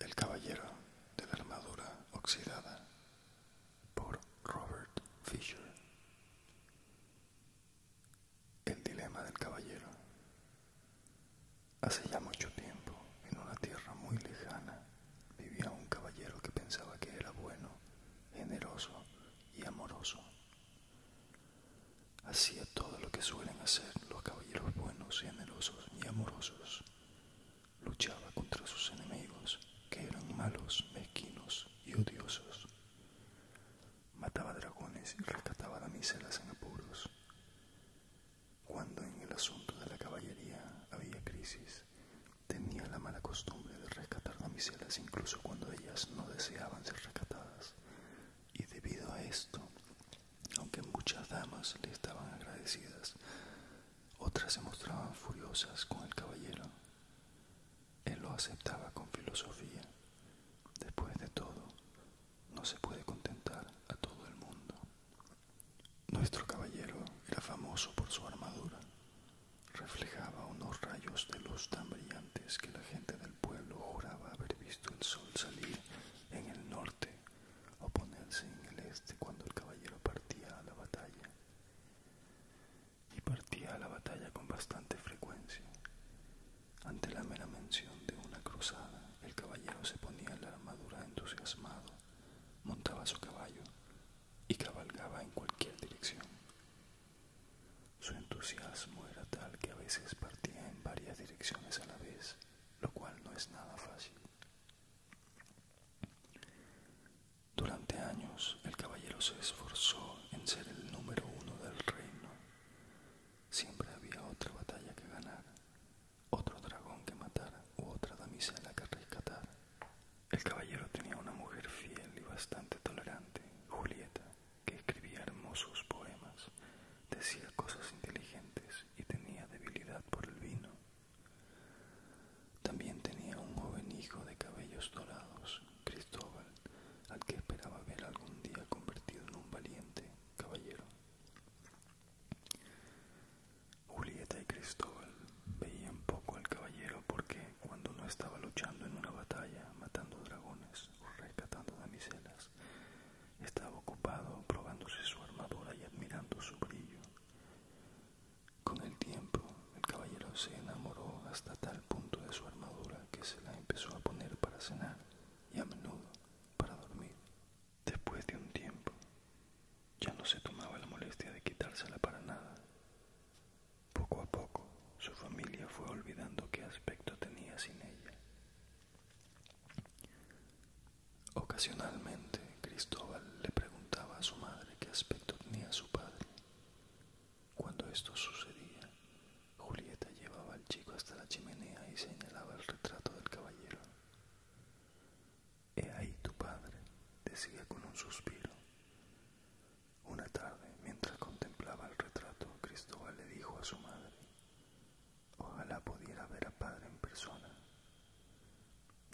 El caballero de la armadura oxidada por Robert Fisher. El dilema del caballero. Hace ya mucho tiempo, en una tierra muy lejana, vivía un caballero que pensaba que era bueno, generoso y amoroso. Hacía todo lo que suelen hacer los caballeros buenos, generosos y amorosos. Luchaba contra sus enemigos, que eran malos, mezquinos y odiosos. Mataba dragones y rescataba damiselas en apuros. Cuando en el asunto de la caballería había crisis, tenía la mala costumbre de rescatar damiselas incluso cuando ellas no deseaban ser rescatadas. Y debido a esto, aunque muchas damas le estaban agradecidas, otras se mostraban furiosas con el caballero. Él lo aceptaba con filosofía. Después de todo, no se puede contentar a todo el mundo. Nuestro caballero era famoso por su armadura, reflejaba unos rayos de luz tan brillantes que la gente del pueblo juraba haber visto el sol salir en el norte o ponerse en el este cuando el caballero partía a la batalla. Y partía a la batalla con bastante frecuencia. Ante la mera mención de una cruzada, el caballero se ponía la armadura entusiasmado, montaba su caballo y cabalgaba en cualquier dirección. Su entusiasmo era tal que a veces partía en varias direcciones a la vez, lo cual no es nada fácil. Durante años el caballero se esforzó en ser el número uno del reino. Siempre había otra batalla que ganar, otro dragón que matar u otra damisela que rescatar. El caballero tenía una mujer fiel y bastante tolerante, Julieta, que escribía hermosos poemas, decía cosas inteligentes y tenía debilidad por el vino. También tenía un joven hijo de cabellos dorados, Cristóbal, al que esperaba ver algún día convertido en un valiente caballero. Julieta y Cristóbal veían poco al caballero porque cuando no estaba luchando en una batalla, matando dragones o rescatando damiselas, estaba ocupado probándose su armadura y admirando su brillo. Con el tiempo, el caballero se enamoró hasta tal punto de su armadura que se la empezó a poner para cenar y a menudo para dormir. Después de un tiempo, ya no se tomaba la molestia de quitársela para nada. Poco a poco, su familia fue olvidando qué aspecto tenía sin ella. Ocasionalmente, Cristóbal le preguntaba a su madre qué aspecto tenía su padre. Cuando esto sucedía, Julieta llevaba al chico hasta la chimenea y señalaba el retrato del caballero. He ahí tu padre, decía con un suspiro. Una tarde, mientras contemplaba el retrato, Cristóbal le dijo a su madre, Ojalá pudiera ver a padre en persona.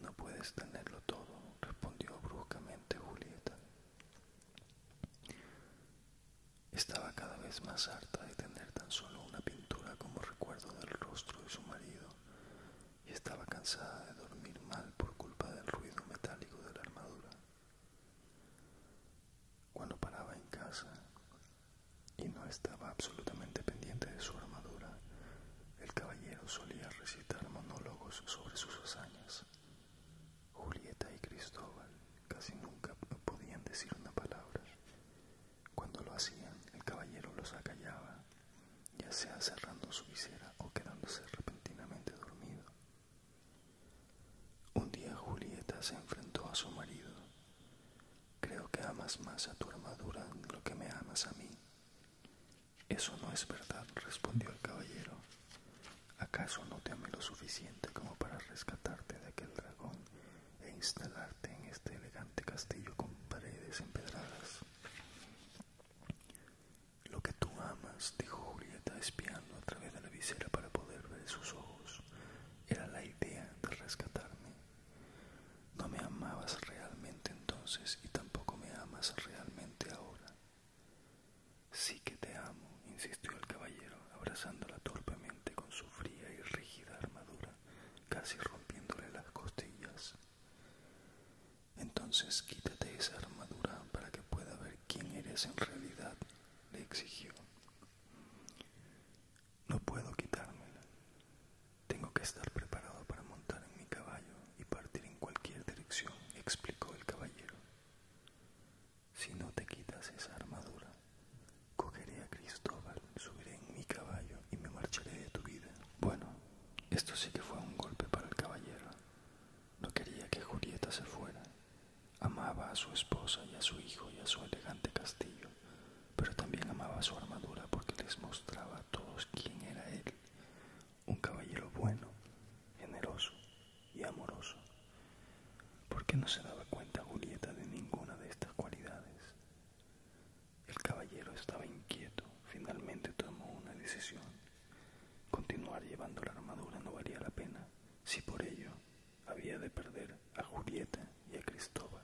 No puedes tenerlo todo, respondió bruscamente Julieta. Estaba cada vez más harta de tener tan solo una pintura como recuerdo del rostro de su marido y estaba cansada de dormir mal por culpa del ruido metálico de la armadura. Cuando paraba en casa y no estaba absolutamente pendiente de su armadura, el caballero solía recitar monólogos sobre sus hazañas. Julieta y Cristóbal casi nunca podían decir una palabra. Cuando lo hacían, el caballero los acallaba, ya sea cerrando su visera o quedándose repentinamente dormido. Un día Julieta se enfrentó a su marido. Creo que amas más a tu armadura de lo que me amas a mí. Eso no es verdad, respondió el caballero. ¿Acaso no te amé lo suficiente como para rescatarte de aquel dragón e instalarte en este elegante castillo con paredes empedradas? Lo que tú amas, dijo Julieta espiando a través de la visera para poder ver sus ojos, era la idea de rescatarme. No me amabas realmente entonces y tampoco me amas realmente ahora. Sí que te amo, insistió el caballero, abrazándola torpemente con su fría y rígida armadura, casi rompiéndole las costillas. Entonces quítate esa armadura para que pueda ver quién eres en realidad, le exigió. No puedo quitármela. Tengo que estar preparado para montar en mi caballo y partir en cualquier dirección, explicó el caballero. Si no te quitas esa armadura, cogeré a Cristóbal, subiré en mi caballo y me marcharé de tu vida. Bueno, esto sí que fue un golpe para el caballero. No quería que Julieta se fuera. Amaba a su esposa y a su hijo y a su elegante castillo, pero también amaba su armadura porque les mostraba a todos quién era él, un caballero bueno, generoso y amoroso. ¿Por qué no se daba cuenta Julieta de ninguna de estas cualidades? El caballero estaba inquieto, finalmente tomó una decisión. Continuar llevando la armadura no valía la pena si por ello había de perder a Julieta y a Cristóbal.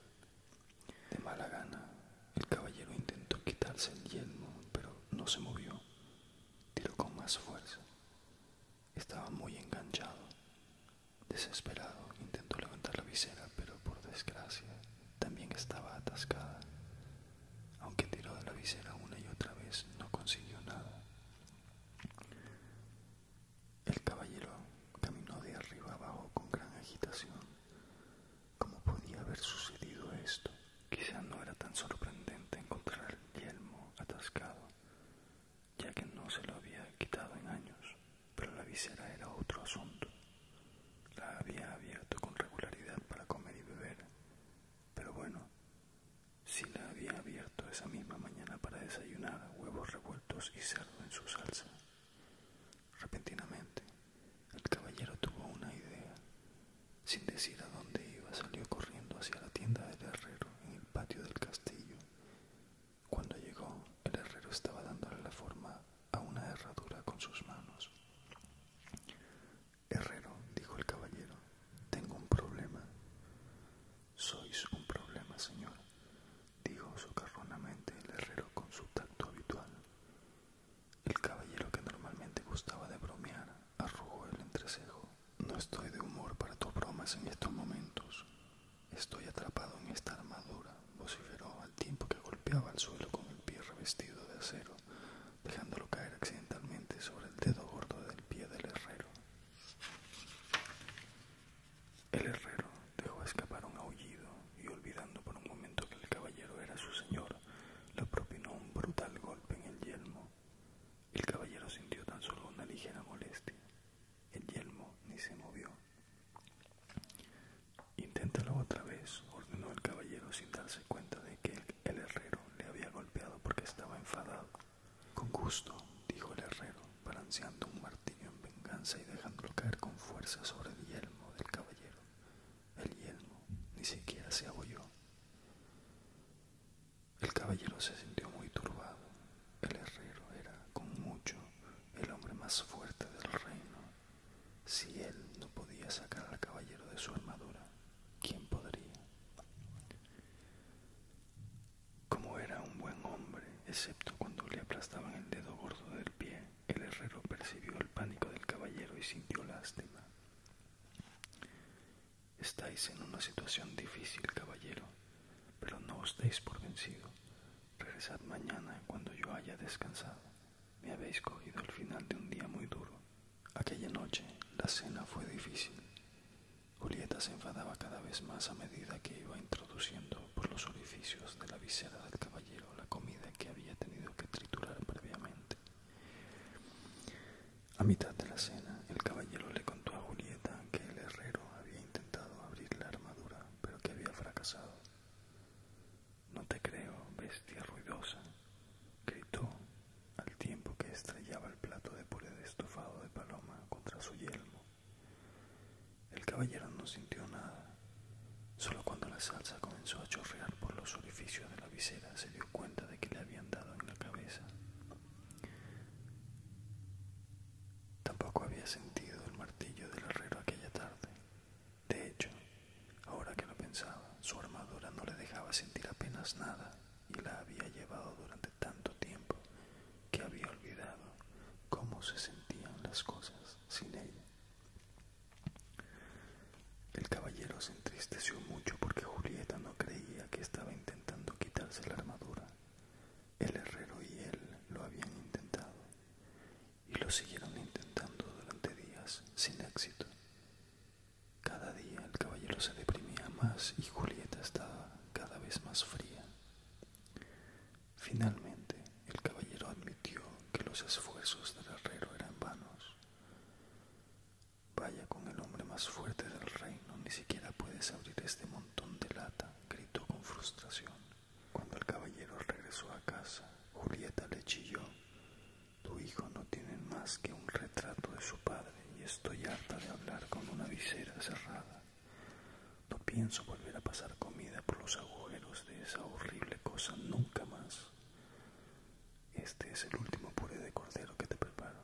De mala gana, el caballero intentó quitarse el yelmo, pero no se movió. Tiró con más fuerza. Estaba muy enganchado. Desesperado, intentó levantar la visera, pero por desgracia también estaba atascada. Aunque tiró de la visera una y otra vez, no consiguió nada. El caballero caminó de arriba abajo con gran agitación. ¿Cómo podía haber sucedido esto? Quizá no era tan sorprendente encontrar el yelmo atascado, ya que no se lo había quitado en años, pero la visera era otro asunto. La había abierto con regularidad para comer y beber, pero bueno, si la había abierto esa misma mañana para desayunar huevos revueltos y cerdo en su salsa. Repentinamente, el caballero tuvo una idea. Sin decir a dónde iba, salió corriendo hacia la tienda del herrero en el patio del castillo. Cuando llegó, el herrero estaba dándole la forma a una herradura con sus manos. Herrero, dijo el caballero, tengo un problema. Sois un problema, señor, dijo socarronamente el herrero con su tacto habitual. El caballero que normalmente gustaba de bromear arrugó el entrecejo. No estoy de humor para tus bromas en estos momentos. Estoy atrapado en esta armadura, vociferó al tiempo que golpeaba el suelo con el pie revestido de acero dejándolo caer accidentalmente sobre el dedo gordo del pie del herrero. El herrero dejó escapar un aullido y olvidando por un momento que el caballero era su señor, le propinó un brutal golpe en el yelmo. El caballero sintió tan solo una ligera molestia. El yelmo ni se movió. Inténtalo otra vez, ordenó el caballero sin darse cuenta de que el herrero le había golpeado porque estaba enfadado. Con gusto, dijo el herrero, balanceando un martillo en venganza y dejándolo caer con fuerza sobre el yelmo del caballero. El yelmo ni siquiera se abolló. El caballero se sintió muy turbado. El herrero era, con mucho, el hombre más fuerte del reino. Si él no podía sacar al caballero de su armadura, ¿quién podría? Como era un buen hombre, excepto cuando le aplastaban el dedo gordo del pie, el herrero percibió el pánico del caballero y sintió lástima. Estáis en una situación difícil, caballero, pero no os deis por vencido. Regresad mañana cuando yo haya descansado. Me habéis cogido al final de un día muy duro, Aquella noche la cena fue difícil. Julieta se enfadaba cada vez más a medida que iba introduciendo por los orificios de la visera del caballero la comida que había tenido que triturar previamente. A mitad de la cena, el caballero le contó a Julieta que el herrero había intentado abrir la armadura, pero que había fracasado. No te creo, bestia ruidosa, gritó al tiempo que estrellaba el plato de puré de estofado de paloma contra su yelmo. El caballero no sintió nada. Solo cuando la salsa comenzó a chorrear por los orificios de la visera se dio cuenta de que le habían dado en la cabeza. Tampoco había sentido el martillo del herrero aquella tarde. De hecho, ahora que lo pensaba, su armadura no le dejaba sentir apenas nada y la había llevado durante tanto tiempo que había olvidado cómo se sentían las cosas sin ella. El caballero se entristeció mucho porque Julieta no creía que estaba intentando quitarse la armadura. El herrero y él lo habían intentado y lo siguieron intentando durante días sin éxito. Cada día el caballero se deprimía más y Julieta estaba cada vez más fría. Finalmente, el caballero admitió que los esfuerzos del herrero eran vanos. Vaya con el hombre más fuerte del reino, ni siquiera puedes abrir este montón de lata, gritó con frustración. Cuando el caballero regresó a casa, Julieta le chilló. Tu hijo no tiene más que un retrato de su padre y estoy harta de hablar con una visera cerrada. No pienso volver a pasar comida por los agujeros de esa horrible cosa nunca más. Este es el último puré de cordero que te preparo.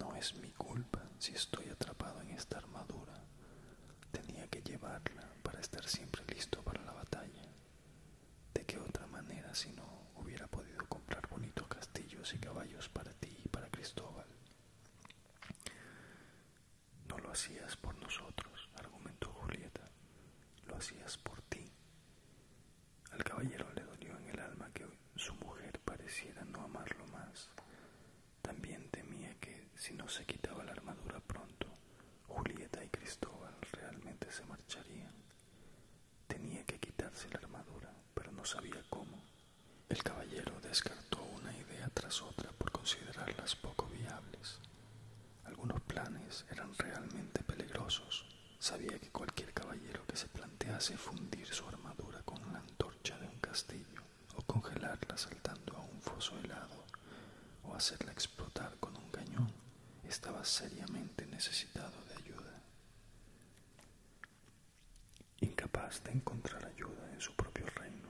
No es mi culpa si estoy atrapado en esta armadura. Tenía que llevarla para estar siempre listo para la batalla. ¿De qué otra manera si no hubiera podido comprar bonitos castillos y caballos para ti y para Cristóbal? No lo hacías por nosotros, argumentó Julieta, lo hacías por ti. Al caballero le dolió en el alma que su mujer pareciera no amarlo más. También temía que, si no se quitaba la armadura pronto, Julieta y Cristóbal realmente se marcharían. Tenía que quitarse la armadura, pero no sabía cómo. El caballero descartó una idea tras otra por considerarlas poco viables. Algunos planes eran realmente peligrosos. Sabía que cualquier caballero que se plantease fundir su armadura con la antorcha de un castillo, o congelarla saltando a un foso helado, o hacerla explotar con un cañón, estaba seriamente necesitado de ayuda. Incapaz de encontrar ayuda en su propio reino,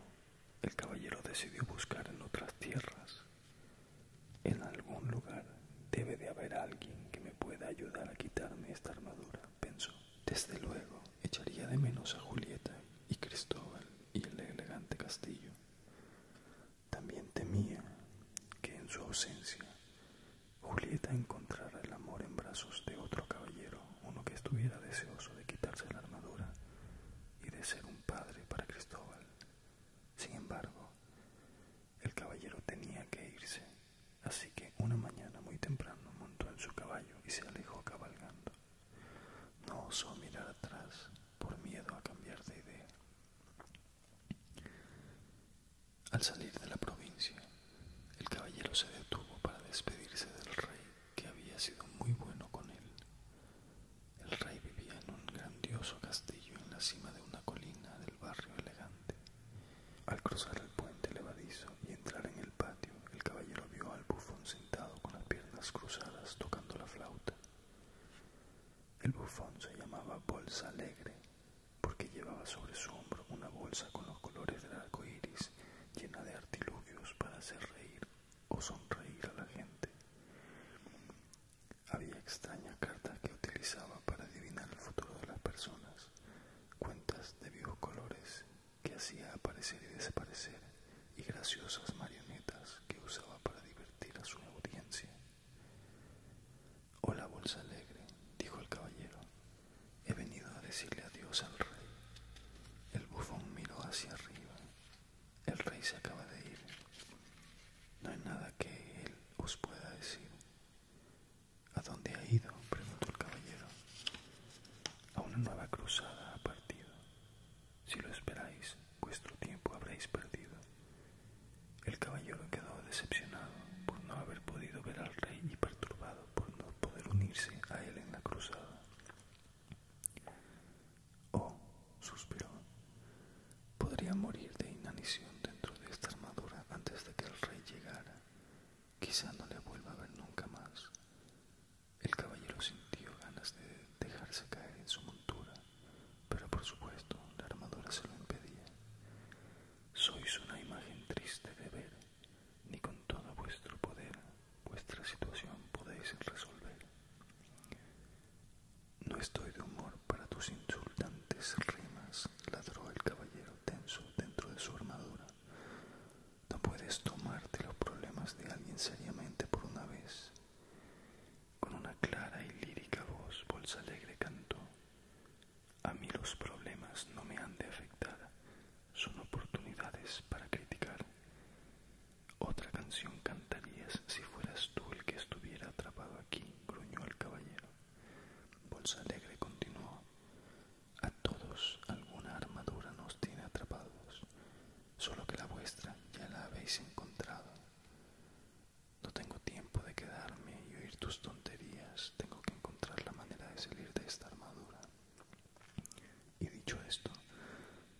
el caballero decidió buscar en otras tierras. En algún lugar debe de haber alguien que me pueda ayudar a quitarme esta armadura, pensó. Desde luego, echaría de menos a Julieta y Cristóbal y el elegante castillo. También temía que en su ausencia Julieta encontrara el amor en brazos de otro caballero, uno que estuviera deseoso de quitarse la armadura y de ser un padre para Cristóbal. Sin embargo, el caballero tenía que irse, así que una mañana muy temprano montó en su caballo y se alejó cabalgando. No osó mirar atrás por miedo a cambiar de idea. Al salir de la provincia, el caballero se detuvo para despedirse del rey, que había sido muy bueno con él. El rey vivía en un grandioso castillo en la cima de una colina del barrio elegante. Al cruzar el puente levadizo y entrar en el patio, el caballero vio al bufón sentado con las piernas cruzadas tocando la flauta. El bufón se llamaba Bolsa Alegre porque llevaba sobre su hombro una bolsa con los colores del arco iris, llena de artilugios para hacer reír o sonreír a la gente. Había extrañas cartas que utilizaba para adivinar el futuro de las personas, cuentas de vivos colores que hacía aparecer y desaparecer, y graciosas marionetas que usaba para divertir a su audiencia. Hola, bolsa alegre, dijo el caballero. He venido a decirle adiós al rey. El bufón miró hacia arriba. El rey se acaba de ir. No hay nada que él os pueda decir. ¿A dónde ha ido? preguntó el caballero. A una nueva cruzada ha partido. Si lo esperáis, vuestro tiempo habréis perdido. El caballero quedó decepcionado por no haber podido ver al rey y perturbado por no poder unirse a él en la cruzada. Oh, suspiró, podría morir de inanición dentro de esta armadura antes de que el rey llegara. Quizá no le vuelva a ver nunca más. El caballero sintió ganas de dejarse caer en su montura, pero por supuesto la armadura se lo impedía. Sois una imagen triste de ver, ni con todo vuestro poder vuestra situación podéis resolver. No estoy de humor para tus insultantes rimas, ladró el caballero tenso dentro de su armadura. No puedes tomarte los problemas de alguien seriamente por una vez. Con una clara y lírica voz, Bolsa Alegre cantó a mí los problemas no me han de afectar, son oportunidades para criticar. Otra canción cantarías si fueras tú el que estuviera atrapado aquí, gruñó el caballero. Bolsa Alegre continuó. A todos alguna armadura nos tiene atrapados, solo que la vuestra ya la habéis encontrado. No tengo tiempo de quedarme y oír tus tonterías. Tengo que encontrar la manera de salir de esta armadura. Y dicho esto,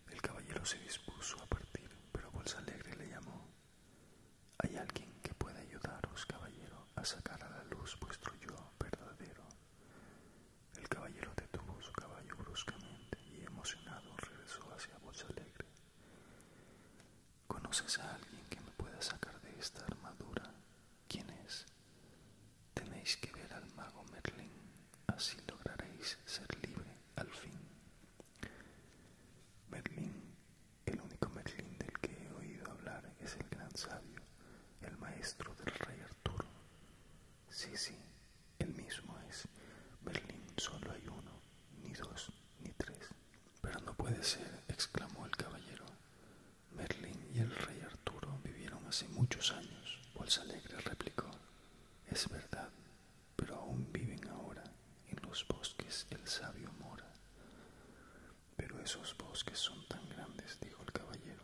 el caballero se dispuso a partir, pero Bolsa Alegre le llamó. Hay alguien que pueda ayudaros, caballero, a sacar a la luz vuestro yo verdadero. El caballero detuvo su caballo bruscamente y emocionado regresó hacia Bolsa Alegre. ¿Conoces a alguien que me pueda sacar de esta armadura? ¿Quién es? Tenéis que ver al mago Merlín, así lograréis ser libre al fin. Merlín, el único Merlín del que he oído hablar es el gran sabio, el maestro del rey Arturo. Sí, sí, el mismo es. Merlín solo hay uno, ni dos, ni tres. Pero no puede ser, exclamó el caballero. Merlín y el rey Arturo vivieron hace muchos años, Bolsa Alegre replicó. Es verdad, pero aún viven ahora en los bosques el sabio mora. Pero esos bosques son tan grandes, dijo el caballero.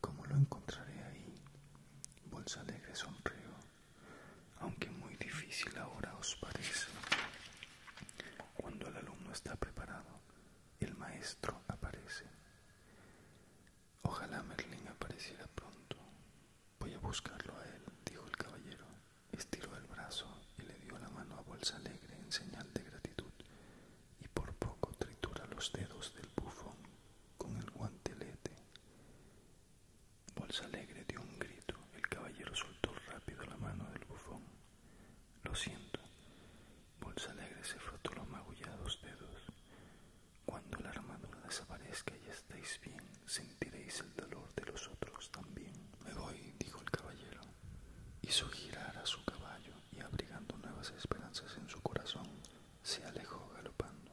¿Cómo lo encontraré ahí? Bolsa Alegre sonrió. Aunque muy difícil ahora os parece. Cuando el alumno está preparado, el maestro aparece. Ojalá Merlin apareciera pronto. Voy a buscarlo a él, dijo el caballero. Estiró el brazo y le dio la mano a Bolsa Alegre en señal de gratitud, y por poco tritura los dedos del bufón con el guantelete. Bolsa Alegre dio un grito, el caballero soltó rápido la mano del bufón lo siento. Bolsa Alegre se frotó los magullados dedos. Cuando la armadura desaparezca y estéis bien, sentiréis el dolor de los otros también. Me voy, dijo el caballero. Hizo girar a su caballo y abrigando nuevas esperanzas en su corazón, se alejó galopando.